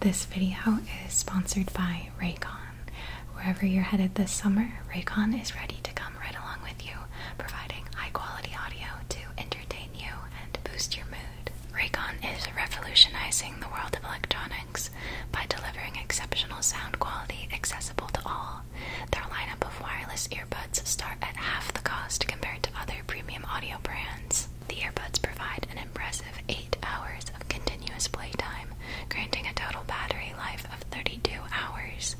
This video is sponsored by Raycon. Wherever you're headed this summer, Raycon is ready to come right along with you, providing high quality audio to entertain you and boost your mood. Raycon is revolutionizing the world of electronics by delivering exceptional sound quality accessible to all. Their lineup of wireless earbuds start at half the cost compared to other premium audio brands. The earbuds provide an impressive 8 hours of continuous playtime, granting a total battery life of 32 hours.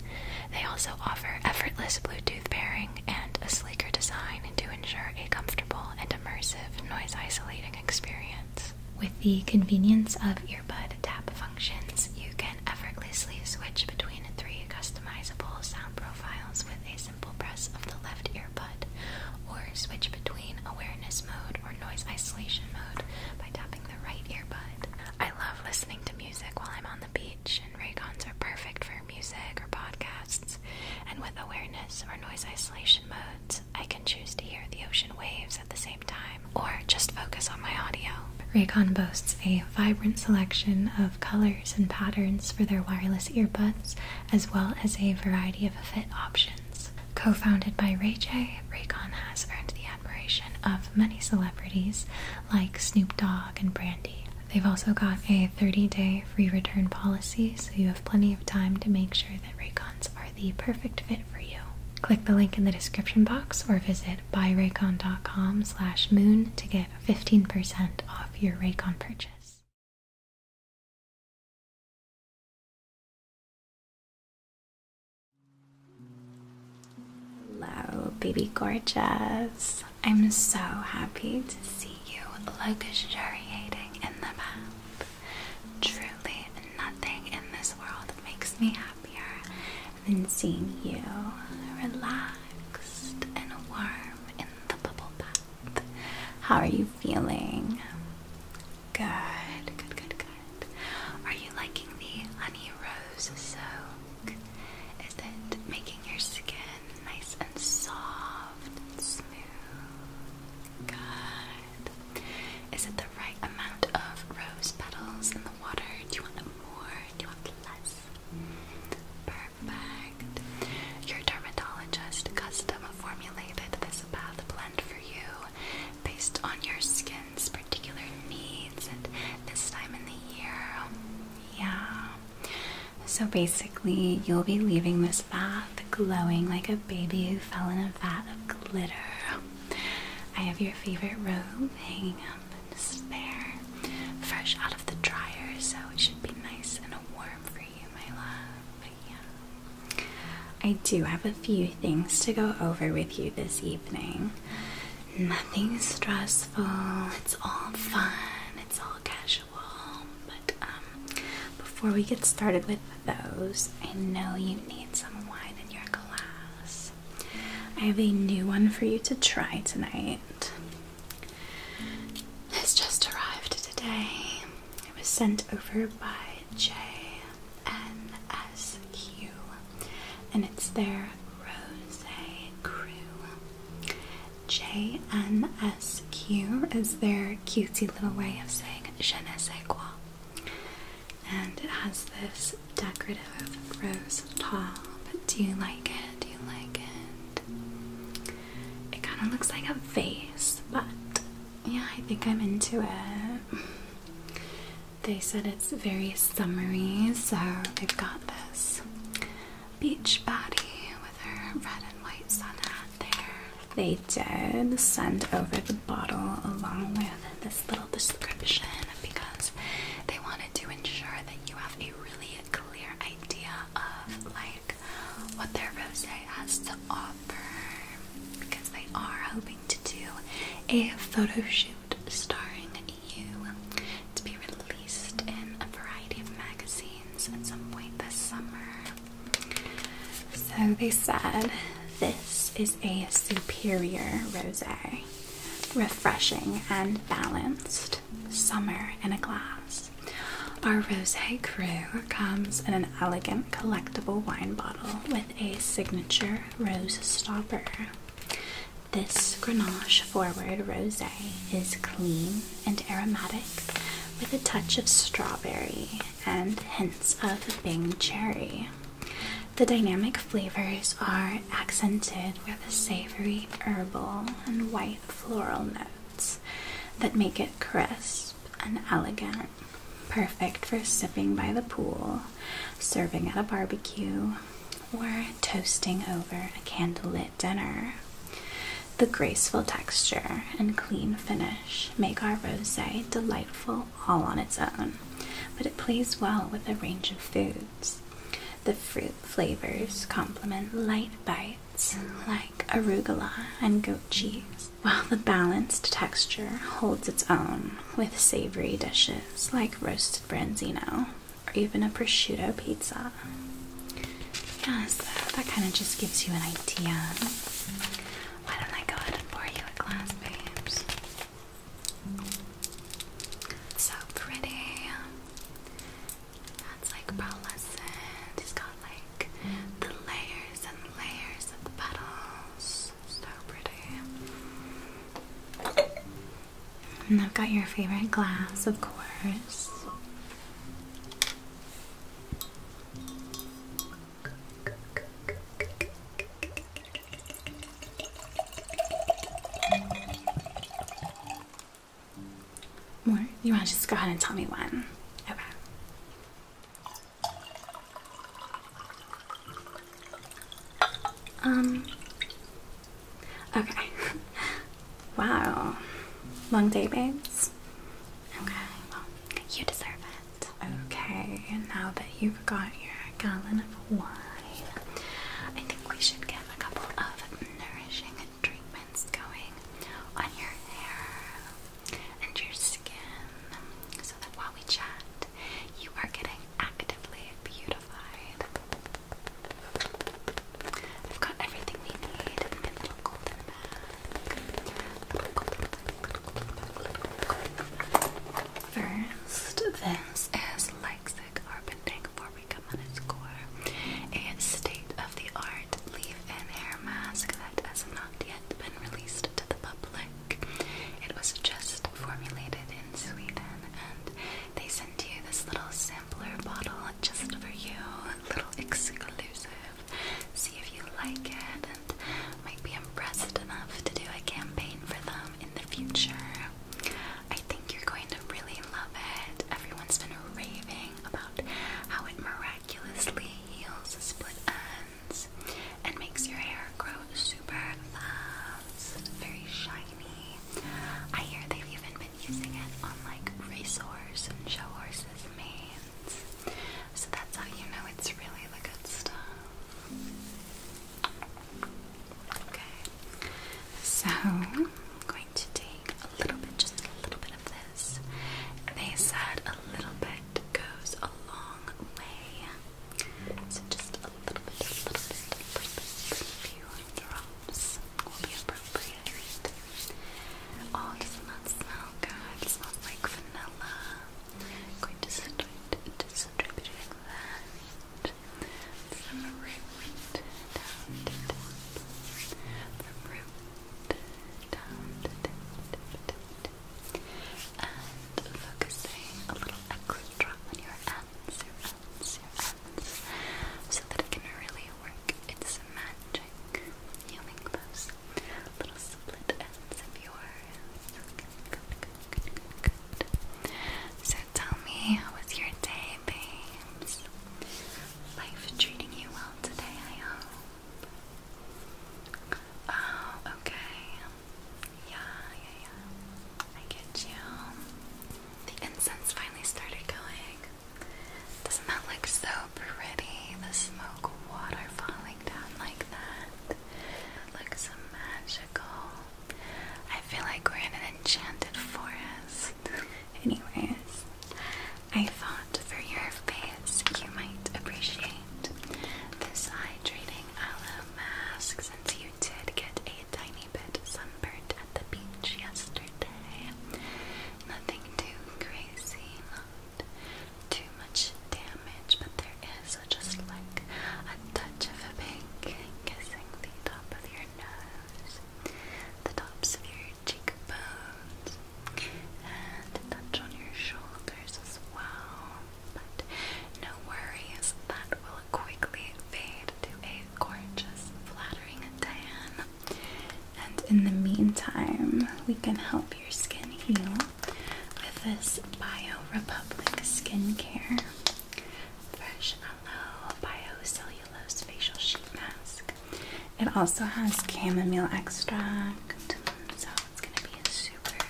They also offer effortless Bluetooth pairing and a sleeker design to ensure a comfortable and immersive noise isolating experience. With the convenience of earbud tap functions, you can effortlessly switch between three customizable sound profiles with ease simple press of the left earbud, or switch between awareness mode or noise isolation mode by tapping the right earbud. I love listening to music while I'm on the beach, and Raycons are perfect for music or podcasts. And with awareness or noise isolation modes, I can choose to hear the ocean waves at the same time or just focus on my audio. Raycon boasts a vibrant selection of colors and patterns for their wireless earbuds, as well as a variety of fit options Co-founded by Ray J, Raycon has earned the admiration of many celebrities like Snoop Dogg and Brandy. They've also got a 30-day free return policy, so you have plenty of time to make sure that Raycons are the perfect fit for you. Click the link in the description box or visit buyraycon.com slash moon to get 15% off your Raycon purchase. Hello, baby gorgeous. I'm so happy to see you luxuriating in the bath. Truly, nothing in this world makes me happier than seeing you relaxed and warm in the bubble bath. How are you feeling? Good, good, good, good. Are you liking the honey rose soak? Is it making your skin nice and soft and smooth? Good. Is it the right amount of rose petals in the water? Do you want more? Do you want less? Perfect perfect. Your dermatologist custom formulated this bath blend for you based on your skin's particular needs and this time in the year. Yeah. So basically, you'll be leaving this bath glowing like a baby who fell in a vat of glitter. I have your favorite robe hanging up just there, fresh out of the dryer, so it should be nice and warm for you, my love yeah. I do have a few things to go over with you this evening. Nothing stressful, it's all fun, it's all casual. But um, before we get started with those, I know you need some wine in your glass. I have a new one for you to try tonight. It's just arrived today. It was sent over by JNSQ and it's their Rose Crew. JNSQ is their cutesy little way of saying je ne sais quoi. And it has this decorative rose top. Do you like it? Do you like it? It kind of looks like a vase, but yeah, I think I'm into it. They said it's very summery, so they've got this beach body with her red and white sun hat there. They did send over the bottle along with this little description because they wanted to ensure that you have a really clear idea of like what their rosé has to offer because they are hoping to do a photo shoot starring you to be released in a variety of magazines at some point this summer. So they said this is a superior rosé, refreshing and balanced, summer in a glass. Our rosé cru comes in an elegant collectible wine bottle with a signature rose stopper. This Grenache Forward Rosé is clean and aromatic with a touch of strawberry and hints of Bing cherry. The dynamic flavors are accented with savory herbal and white floral notes that make it crisp and elegant, perfect for sipping by the pool, serving at a barbecue, or toasting over a candlelit dinner. The graceful texture and clean finish make our rosé delightful all on its own, but it plays well with a range of foods. The fruit flavors complement light bites like arugula and goat cheese, while the balanced texture holds its own with savory dishes like roasted branzino or even a prosciutto pizza. Yeah, that kind of just gives you an idea. Why don't I go ahead and pour you a glass, babes? So pretty. That's like pearlescent. He's got like the layers and layers of petals. So pretty. And I've got your favorite glass, of course. More? You want to just go ahead and tell me when? Okay. Um. Okay. wow. Long day, babes? Okay, well, you deserve it. Okay, now that you've got your gallon of wine, I think we should get a couple of nourishing treatments going on your hair and your skin so that while we chat, you are getting actively beautified. I've got everything we need in my little golden bag. First, this is Leipzig Carpenting before we come on its core. A state of the art Leave In Hair Mask that has not yet been released to the public. It was just formulated in Sweden, and they sent you this little sampler bottle just for you, a little exclusive. See if you like it and might be impressed enough to do a campaign for them in the future. I think you're going to really love it. Everyone's been raving about how it miraculously heals split ends and makes your hair grow super fast, very shiny. I hear they've even been using it on like racehorse and show horses' manes. So that's how you know it's really the good stuff. Okay, so I'm going to take a little bit, just a little bit of this is. They said a little bit goes a long way. So just a little bit, a few drops will be appropriate. Oh, doesn't that smell good? smells like vanilla. going to distribute, that from root down to top. From and focusing a little extra on your ends, so that it can really work its magic healing those little split ends of yours. So tell me, how was your day, babes? Life treating you well today, I hope. Oh, okay. Yeah, yeah, yeah. I get you. The incense finally started going. Doesn't that look so pretty? The smoke water falling down like that. It looks magical. I feel like we're in an enchanted forest. Anyways, I thought for your face you might appreciate this hydrating aloe mask since you did get a tiny bit sunburnt at the beach yesterday. Nothing too crazy, not too much damage, but there is just like a touch of a pink kissing the top of your nose, the tops of your cheekbones and touch on your shoulders as well. But no worries, that will quickly fade to a gorgeous, flattering tan. And in the meantime, we can help your skin heal with this Bio Republic skincare. Fresh aloe bio Cellulose Facial Sheet Mask. It also has chamomile extract, so it's going to be super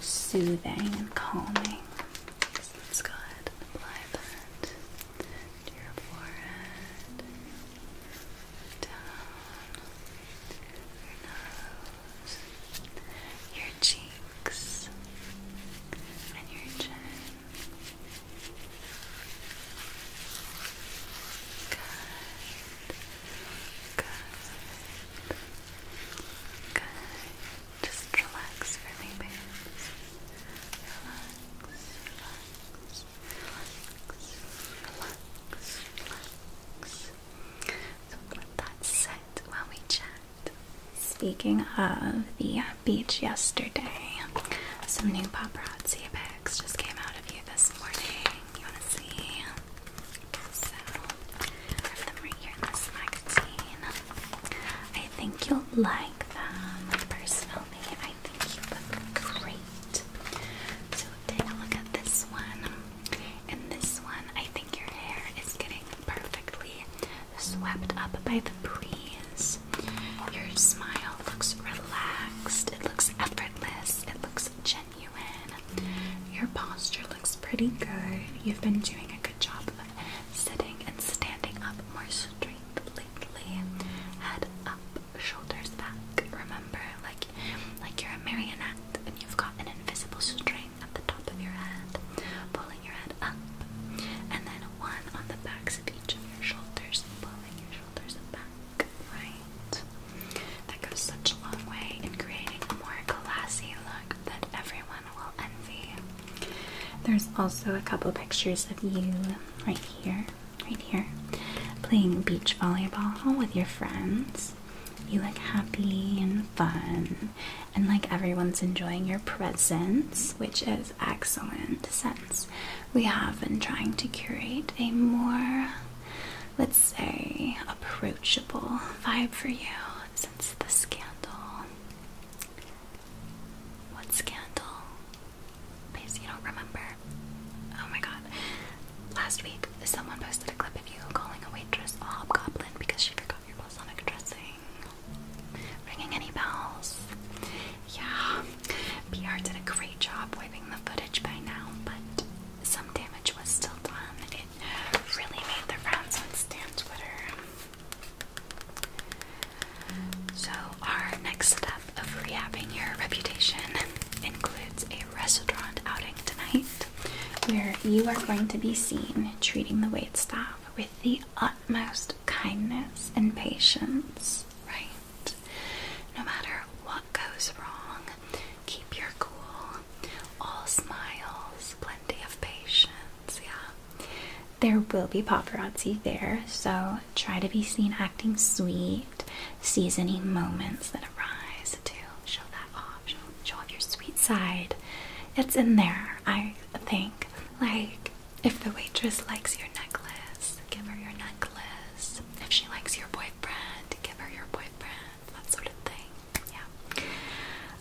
soothing and calming. let's go ahead and apply that to your forehead, your nose, your cheeks, and your chin. Just relax for me, Relax, relax, relax, relax, relax. So let that set while we chat. Speaking of the beach yesterday. Some new paparazzi pics just came out of you this morning. You want to see? So, I them right here in this magazine. I think you'll like them. Personally, I think you look great. So, take a look at this one. And this one, I think your hair is getting perfectly swept up by the breeze. Your smile looks relaxed, it looks effortless, it looks genuine. Your posture looks pretty good. You've been doing a good job of sitting and standing up more straight lately. Head up, shoulders back. Remember, like like you're a marionette and you've got an invisible string at the top of your head, pulling your head up. And then one on the backs of each of your shoulders your shoulders back, right? That goes such a long way in creating a more classy look that everyone will envy. There's also a couple pictures of you right here, right here, playing beach volleyball with your friends. You look happy and fun, and like everyone's enjoying your presence, which is excellent sense we have been trying to curate a more, let's say, approachable vibe for you since the scandal. What scandal? Please, you don't remember. Oh my god. Last week, someone posted a clip of you calling a waitress a hobgoblin because she forgot your balsamic dressing. Ringing any bells? Yeah, PR did a great job wiping the footage by now, but some damage was still done. It really made the rounds on Stan Twitter. So, our next step of rehabbing your reputation includes a restaurant outing tonight where you are going to be seen treating the waitstaff with the utmost kindness and patience, right? No matter what goes wrong, keep your cool. All smiles, plenty of patience, yeah. There will be paparazzi there, so try to be seen acting sweet. Seize any moments that arise to show that off, show off your sweet side. It's in there, I think. Like, if the waitress likes your necklace, give her your necklace. If she likes your boyfriend, give her your boyfriend. That sort of thing. Yeah.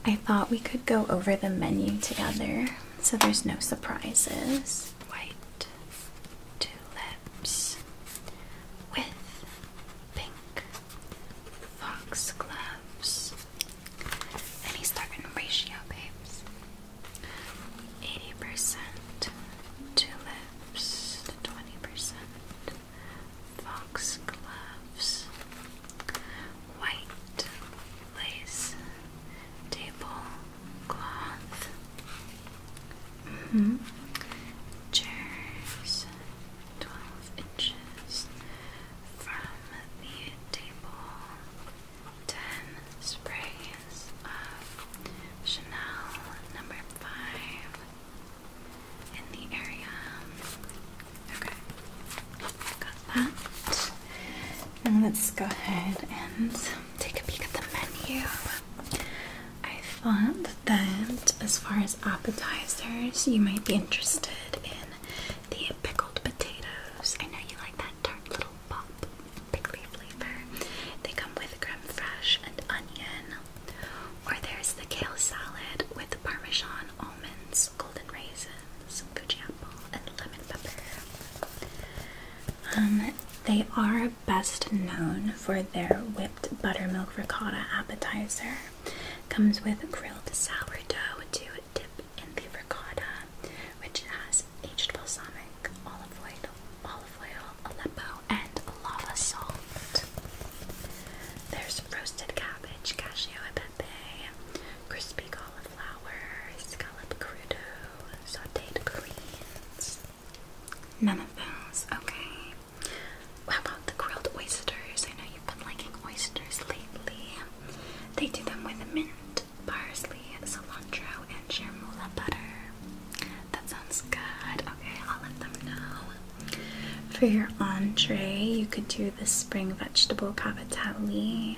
I thought we could go over the menu together so there's no surprises. White tulips with pink foxgloves. Any certain ratio, babes. Eighty percent tulips, twenty percent fox gloves, white lace table cloth, mm-hmm. chairs twelve inches from the table ten sprays of Chanel number five in the area. Okay, got that. And let's go ahead and take a peek at the menu. I thought that as far as appetizers, you might be interested in the pickled potatoes. I know you like that tart little pop prickly flavor. They come with creme fraiche and onion. Or there's the kale salad with parmesan, almonds, golden raisins, goji apple, and lemon pepper. Um, they are best known for their whipped buttermilk ricotta appetizer. Comes with grilled sourdough to dip in the ricotta, which has aged balsamic, olive oil, olive oil, Aleppo, and lava salt. There's roasted cabbage, cashew and pepe, crispy cauliflower, scallop crudo, sautéed greens. None of those, okay. How about the grilled oysters? I know you've been liking oysters lately. They do them with mint parsley, cilantro, and chermoula butter. That sounds good. Okay, I'll let them know. For your entree, you could do the spring vegetable cavatelli,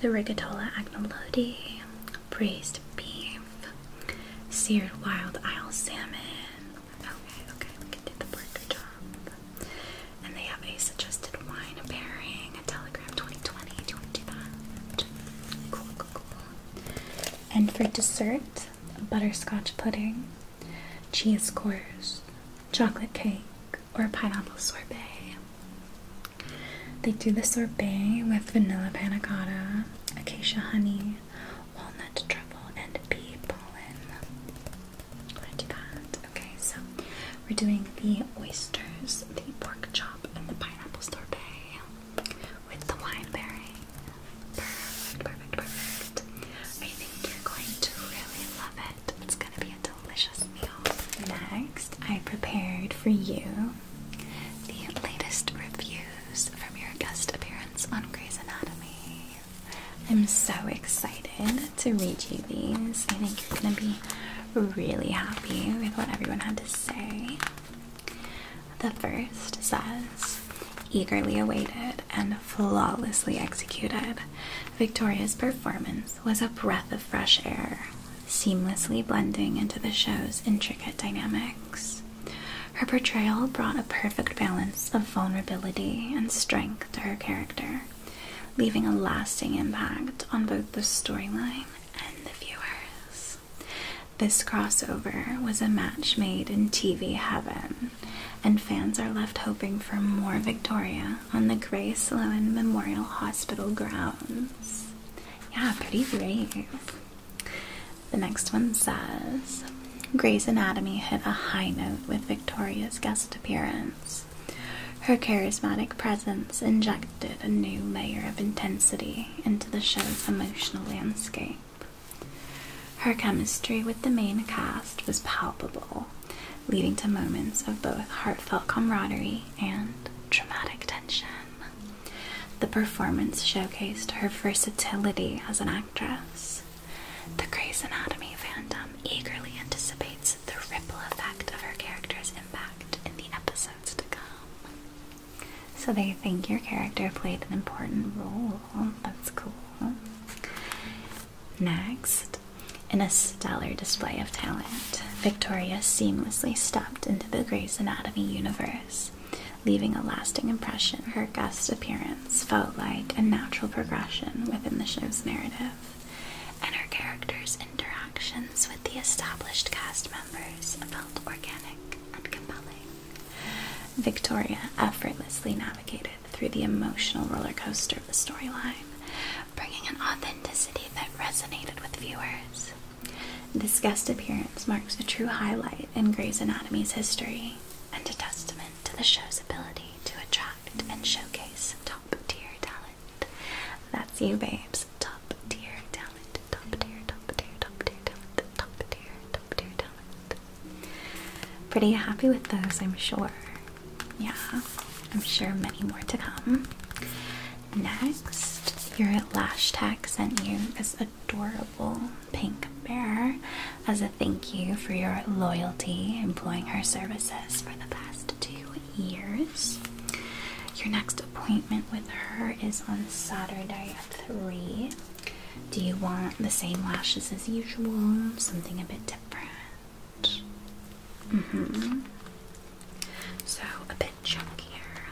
the rigatola agnolotti, braised beef, seared wild Ale salmon. Okay, okay, we can the pork chop. And they have a suggested wine pairing, a Telegram 2020. And for dessert, butterscotch pudding, cheese course, chocolate cake, or pineapple sorbet. They do the sorbet with vanilla panacotta, acacia honey, walnut truffle, and bee pollen. I'm do that. Okay, so we're doing the oysters, the pork chop and the pineapple sorbet with the wineberry. Perfect, perfect, perfect. I think you're going to really love it. It's gonna be a delicious meal. Next, I prepared for you the latest reviews from your guest appearance on Grey's Anatomy. I'm so excited to read you these. I think you're gonna be really happy with what everyone had to say say. The first says, eagerly awaited and flawlessly executed, Victoria's performance was a breath of fresh air, seamlessly blending into the show's intricate dynamics. Her portrayal brought a perfect balance of vulnerability and strength to her character, leaving a lasting impact on both the storyline and the viewers. This crossover was a match made in TV heaven, and fans are left hoping for more Victoria on the Gray Sloan Memorial Hospital grounds. Yeah, pretty great. The next one says Grey's Anatomy hit a high note with Victoria's guest appearance. Her charismatic presence injected injected a new layer of intensity into the show's emotional landscape. Her chemistry with the main cast was palpable, leading to moments of both heartfelt camaraderie and dramatic tension. The performance showcased her versatility as an actress. The Grey's Anatomy fandom eagerly anticipates the ripple effect of her character's impact in the episode to come. So they think your character played an important role. That's cool. Next, in a stellar display of talent, Victoria seamlessly stepped into the Grey's Anatomy universe, leaving a lasting impression. Her guest appearance felt like a natural progression within the show's narrative and her characters' interactions with the established cast members felt organic and compelling. Victoria effortlessly navigated through the emotional roller coaster of the storyline, bringing an authenticity that resonated with viewers. This guest appearance marks a true highlight in Grey's Anatomy's history and a testament to the show's ability to attract and showcase top tier talent. That's you, babes. Top tier talent. Top tier, top tier, top tier talent. Top tier, top tier talent. Pretty happy with those, I'm sure. Yeah, I'm sure many more to come. Next, your lash tag sent you this adorable pink bear as a thank you for your loyalty employing her services for the past two years. Your next appointment with her is on Saturday at 3. Do you want the same lashes as usual? Something a bit different? Mm hmm. So a bit chunkier,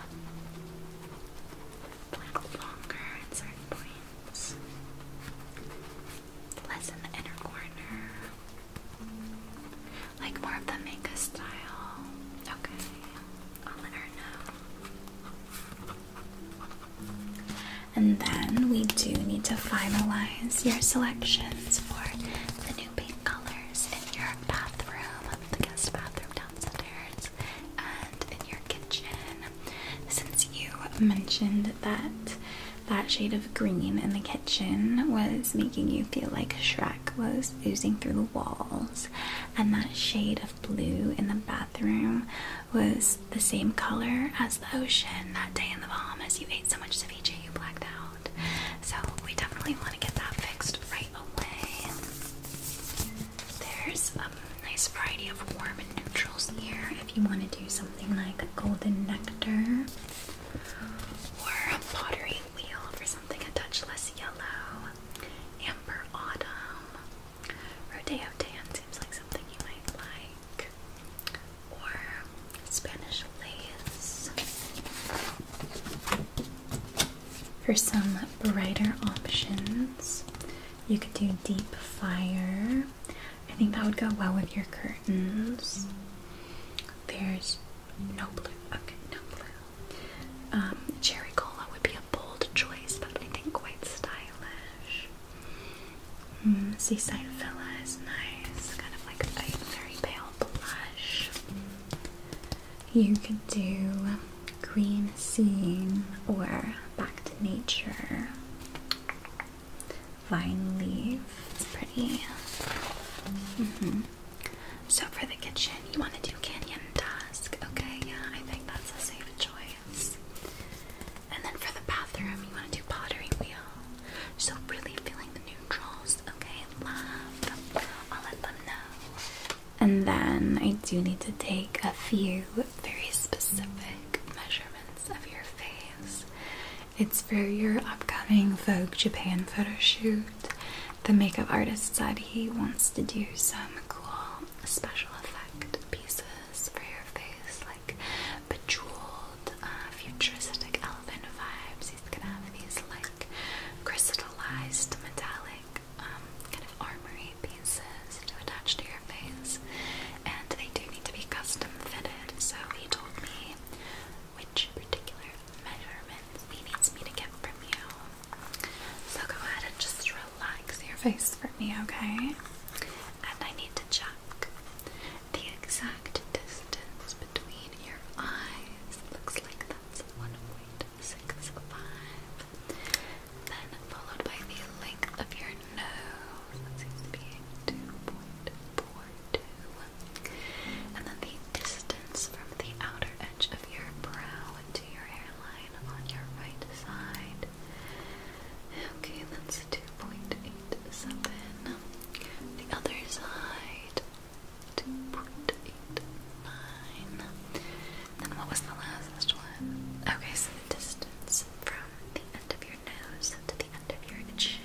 a longer at certain points, less in the inner corner. Like more of the manga style. Okay, I'll let her know. And then we do need to finalize your selections for the new paint colors in your bathroom, the guest bathroom downstairs, and in your kitchen. Since you mentioned that that shade of green in the kitchen was making you feel like Shrek was oozing through the walls, and that shade of blue in the bathroom was the same color as the ocean that day in the Bahamas. You ate so much ceviche, you blacked out. So, we definitely want to get that fixed right away. There's a nice variety of warm and neutrals here if you want to do something like golden nectar or a pottery for something a touch less yellow. Amber Autumn. Rodeo Tan seems like something you might like. Or Spanish Lace. For some brighter options, you could do Deep Fire. I think that would go well with your curtains. There's no blue. Okay, no blue. Um, cherry cola would be a bold choice, but I think quite stylish. Mm, seaside Villa is nice, kind of like a very pale blush. You could do green scene or back to nature. Vine leaf, it's pretty. -hmm. So for the kitchen, you want to do Canyon Dusk. Okay, yeah, I think that's a safe choice. And then for the bathroom, you want to do Pottery Wheel. So really feeling the neutrals. Okay, love. I'll let them know. And then I do need to take a few very specific measurements of your face. It's for your upcoming Vogue Japan photo shoot. The makeup artist said he wants to do some cool special effect pieces for your face, like bejeweled, uh, futuristic elephant vibes. He's gonna have these like crystallized metallic um, kind of armory pieces to attach to your face, and they do need to be custom fitted. So he told me which particular measurements he needs me to get from you. So go ahead and just relax your face for me, okay? And I need to check the exact distance between your eyes. Looks like that's 1.65. Then followed by the length of your nose. That seems to be 2.42. And then the distance from the outer edge of your brow to your hairline on your right side. Okay, that's 2.87. The other side, 2.89. And what was the last one? Okay, so the distance from the end of your nose to the end of your chin.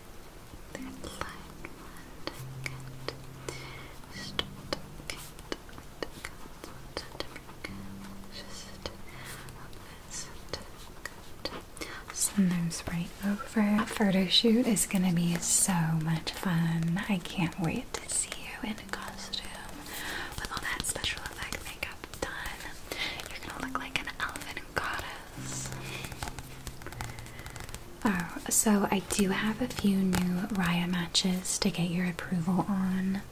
the blind one cat just cat Sometimes right over a photo shoot is gonna be so much fun. I can't wait to see you in a costume with all that special effect makeup done. You're gonna look like an elven goddess. Oh, so I do have a few new Raya matches to get your approval on.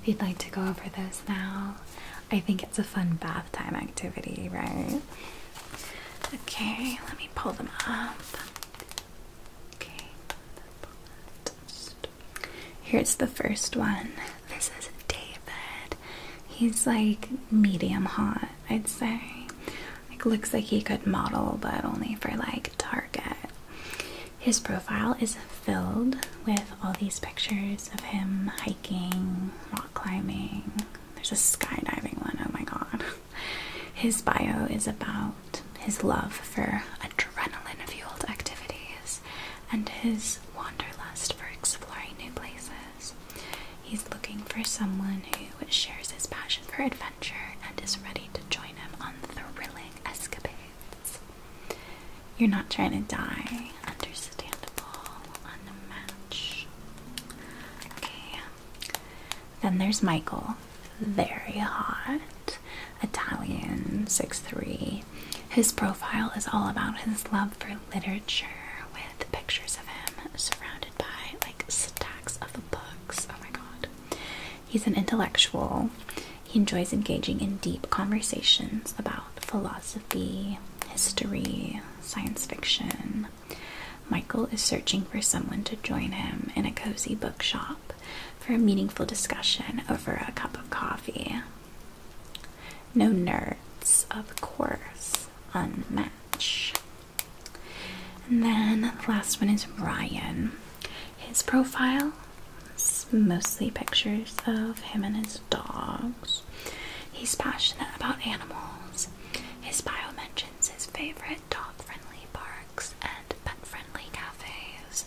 If you'd like to go over those now, I think it's a fun bath time activity, right? Okay, let me pull them up. Okay, here's the first one. This is David. He's like medium hot. I'd say. Like looks like he could model, but only for like Target. His profile is filled with all these pictures of him hiking, rock climbing. There's a skydiving one, oh my god. His bio is about his love for adrenaline fueled activities and his wanderlust for exploring new places. He's looking for someone who shares his passion for adventure and is ready to join him on thrilling escapades. You're not trying to die. Understandable. Unmatched. Okay. Then there's Michael. Very hot. Italian, Six three. His profile is all about his love for literature with pictures of him surrounded by like stacks of books. Oh my god. He's an intellectual. He enjoys engaging in deep conversations about philosophy, history, science fiction. Michael is searching for someone to join him in a cozy bookshop for a meaningful discussion over a cup of coffee. No nerds, of course. Unmatch. And then the last one is Ryan. His profile is mostly pictures of him and his dogs. He's passionate about animals. His bio mentions his favorite dog friendly parks and pet friendly cafes.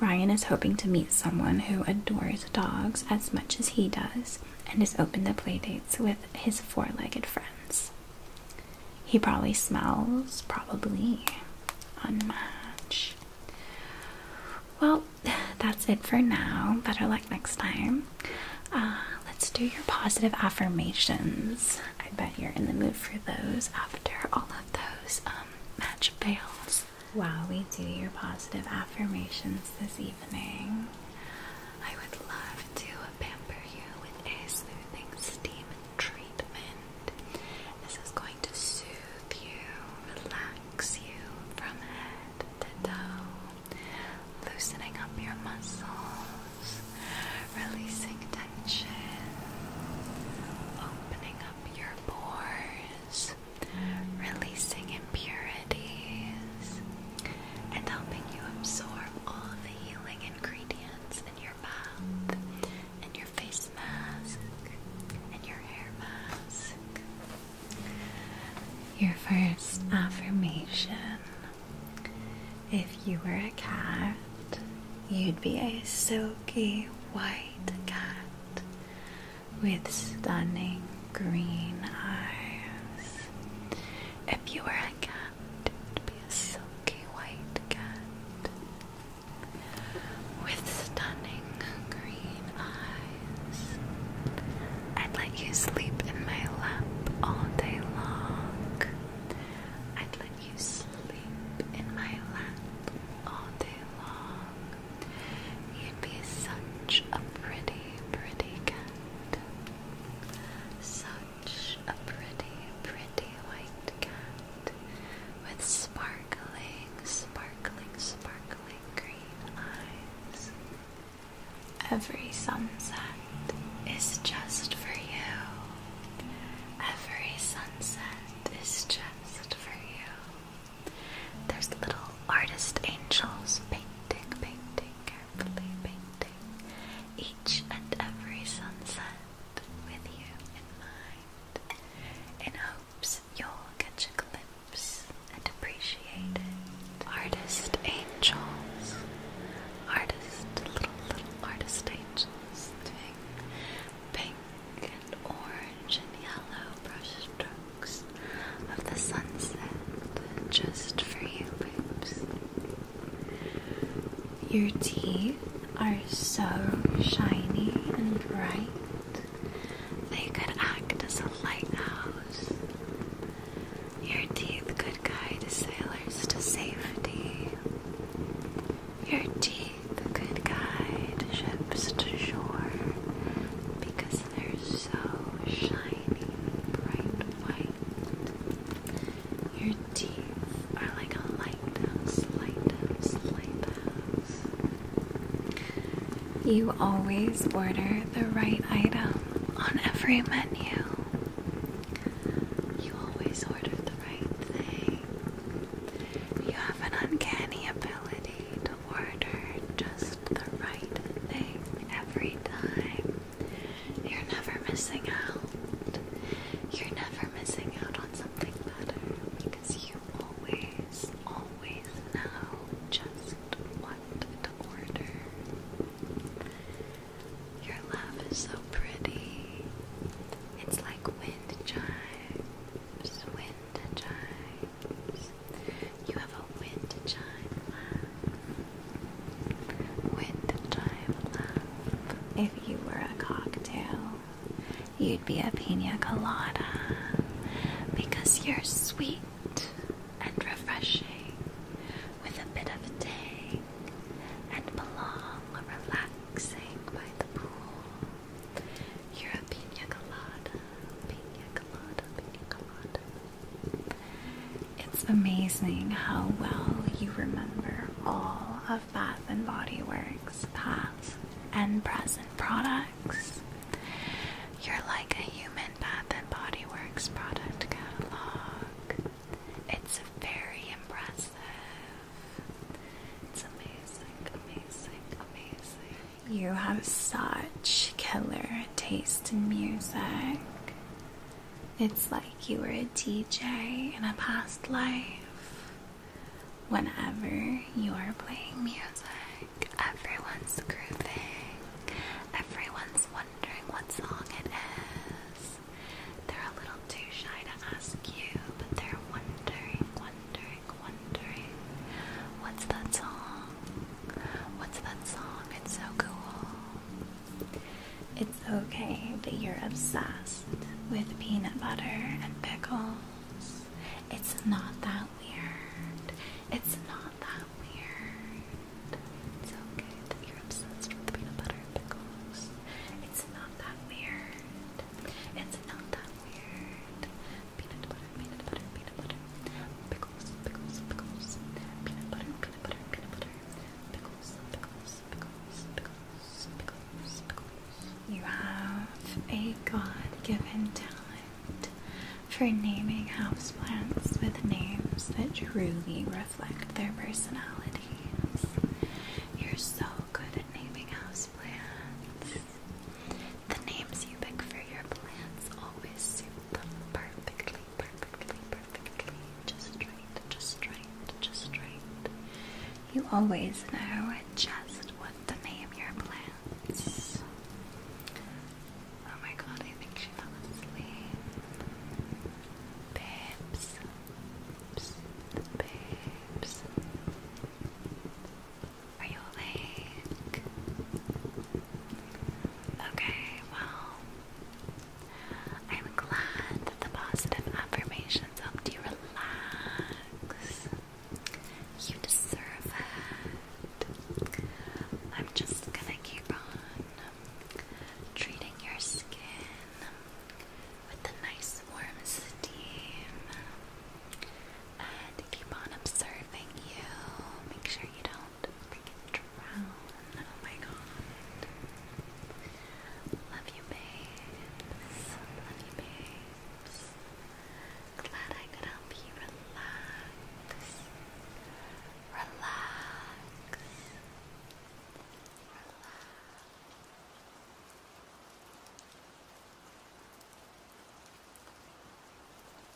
Ryan is hoping to meet someone who adores dogs as much as he does and is open to playdates with his four legged friends. He probably smells, probably unmatched. Well, that's it for now. Better luck next time. Uh, let's do your positive affirmations. I bet you're in the mood for those after all of those um, match fails. While we do your positive affirmations this evening, I would love to pamper you with a soothing steam treatment. This is going to soothe you, relax you from head to toe, loosening up your muscles, releasing tension, opening up your pores, releasing impurities and helping you absorb all the healing ingredients in your mouth, in your face mask, and your hair mask. Your first affirmation if you were a cat, you'd be a silky white cat with stunning green eyes. If you were a cat, cat. be a silky white cat with stunning green eyes. I'd let you sleep in my lap all day long. I'd let you sleep in my lap all day long. You'd be such a pretty, pretty cat. Such a pretty, pretty white cat with sparkling, sparkling, sparkling green eyes. Every sunset is just for you. Every sunset is just for you. There's little artist angels painting, painting, carefully painting each and every sunset with you in mind, in hopes you'll catch a glimpse and appreciate it. Artist angels, artist little little artist angels pink and orange and yellow brush strokes of the sunset just for you, boobs. Your teeth are so shiny and bright, they could act as a lighthouse. Your teeth could guide sailors to safety. Your teeth could guide ships to shore because they're so shiny, bright white. Your teeth are like a lighthouse, lighthouse, lighthouse. You always order the right item on every menu. You always order the right thing. You have an uncanny ability to order just the right thing every time. You're never missing out. You're never missing out on something better because you always, always know just what to order. Your laugh is so pretty. It's like wind chimes, wind chimes. You have a wind chime Wintertime love. If you were a cocktail, you'd be a pina colada because you're sweet and refreshing with a bit of tang and belong relaxing by the pool. You're a pina colada, pina colada, pina colada. It's amazing how well you remember all of Bath and Body Works past and present products. You're like a human Bath and Body Works product catalog. It's very impressive. It's amazing, amazing, amazing. You have such killer taste in music. It's like you were a DJ in a past life. Whenever you're playing music, everyone's grooving, everyone's wondering what song it is. They're a little too shy to ask you, but they're wondering, wondering, wondering what's that song? What's that song? It's so cool. It's okay that you're obsessed with peanut butter and pickles. It's not that weird. It's not that weird. It's okay that you're obsessed with peanut butter and pickles. It's not that weird. It's not that weird. Peanut butter, peanut butter, peanut butter. Pickles, you have a God-given talent for naming houseplants with names that truly reflect their personalities. You're so good at naming houseplants. The names you pick for your plants always suit them perfectly perfectly, perfectly, just right, just right, just right. You always know just what to name your plants. Oh my god, I think she fell asleep. Babes. Babes. Babes. Are you awake? Okay, well, I'm glad that the positive affirmations helped you relax. You deserve it. I'm just gonna keep on treating your skin with the nice warm steam and keep on observing you. Make sure you don't they can drown. Oh my god. Love you, babes. Love you, babes. Glad I could help you relax. Relax. Relax.